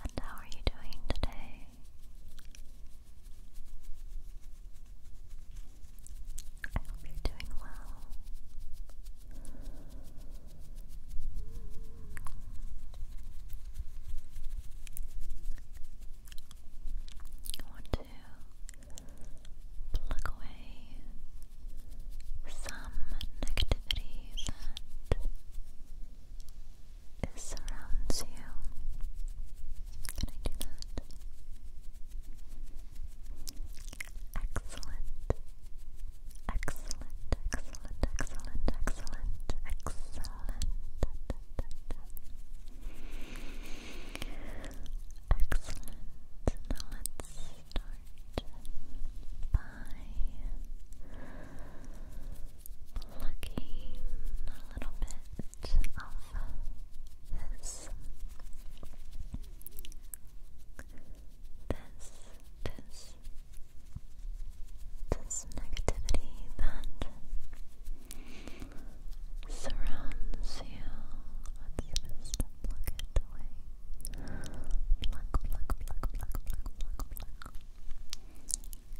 And how are you doing today? I hope you're doing well. I want to plug away some negativity that surrounds you. Can I do that? Excellent. Excellent, excellent, excellent, excellent, excellent. Excellent. Now let's start by looking a little bit of this, this, this, this negativity that surrounds you. Let's just plug it away.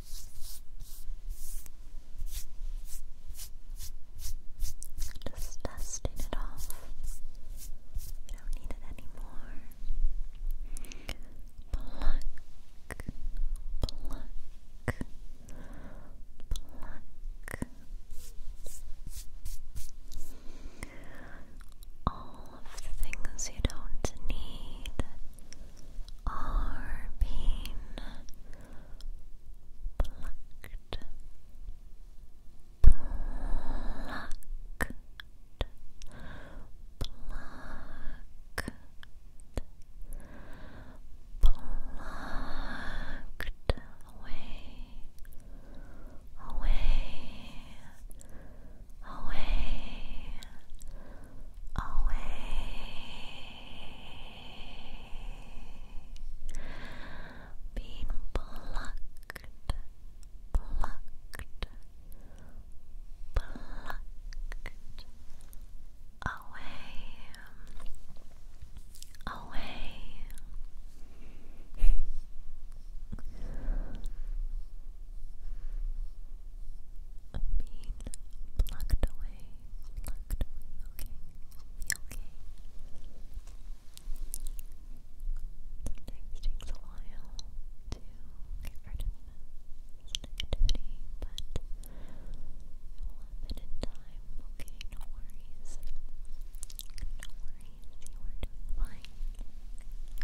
Just dusting it off. You don't need it anymore. Pluck, pluck, pluck. All of the things you don't need are being plucked, plucked, plucked, plucked away, away, away away, being plucked, plucked, plucked away, away. Being plucked away, Locked okay? okay. Sometimes takes a while to get rid of this but we time, okay? No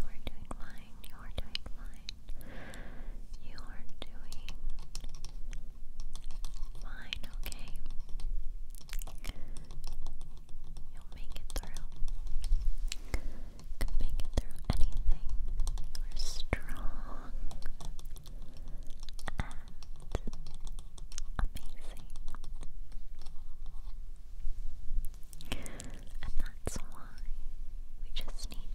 worries. No worries, you are doing fine. You are doing fine, you are doing fine. You are doing fine, okay? You'll make it through. You can make it through anything. You are strong and amazing. And that's why we just need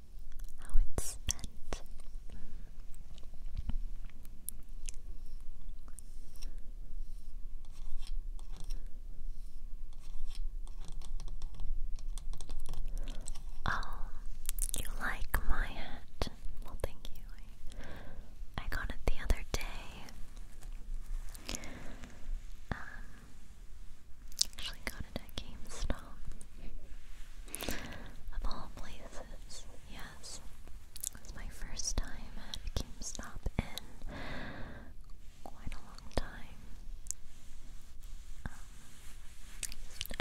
how it's spent. Oh, you like my hat? Well, thank you. I, got it the other day. Um, actually got it at GameStop. Of all places, yes. It my first time at GameStop in quite a long time. Um,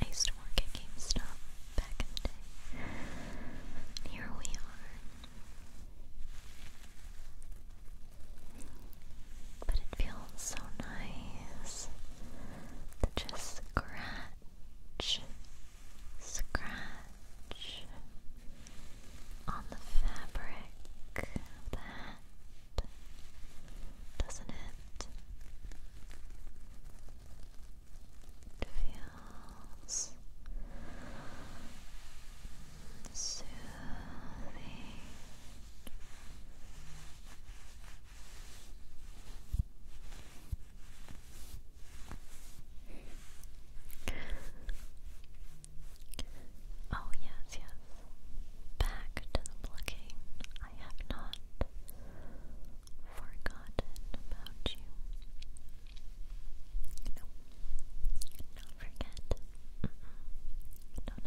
I, used, to work at GameStop back in the here we are. But it feels so nice to just scratch, scratch on the fabric of doesn't It feels soothing. Oh, yes, yes. Back to the blockade. I have not forgotten about you. No, not forget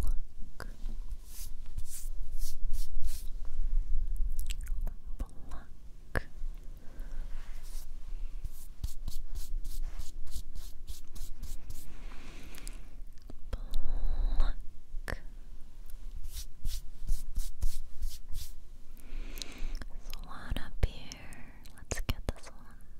Pluck. Pluck. Pluck. There's one up here. Let's get this one.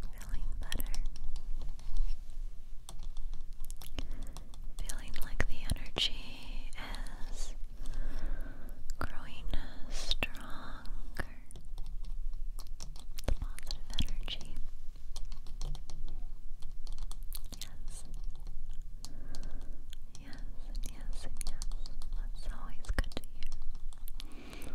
Feeling better. Feeling like the energy is growing stronger. The positive energy. Yes yes, and yes, and yes. That's always good to hear. Yes,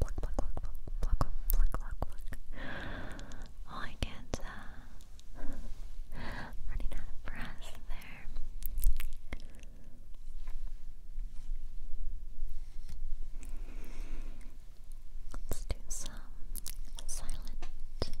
Pluck, pluck, pluck, pluck, pluck, pluck, pluck, pluck. All oh, I can't, uh, running there. Let's do some silent plucking.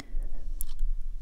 Block, block, block,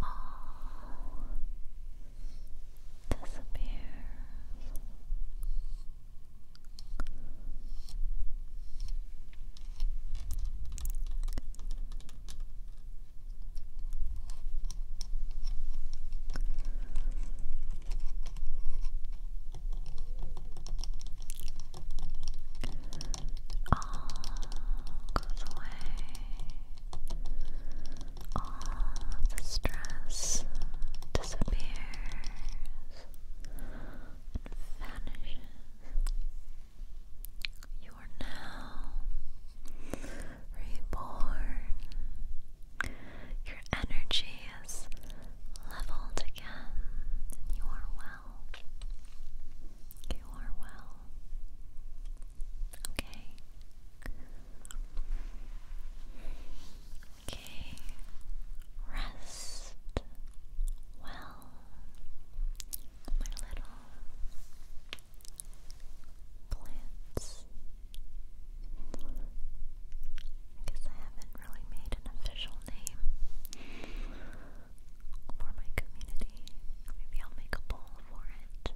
all disappears. Now all goes away. All the stress disappears vanishes. You are now reborn. Your energy is leveled again, and you are well. You are well. Okay. Okay. Rest well, my little plants. I guess I haven't really made an official name for my community. Maybe I'll make a bowl for it.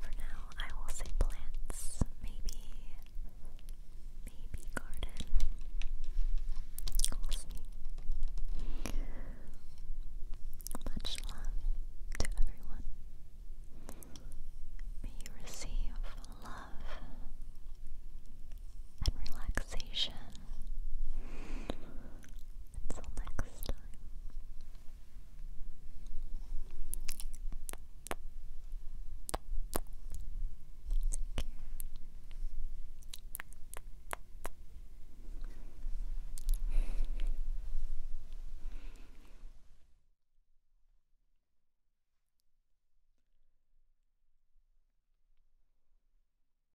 For now, I will say plants. Maybe, maybe garden. Much love to everyone. May you receive love and relaxation until next time.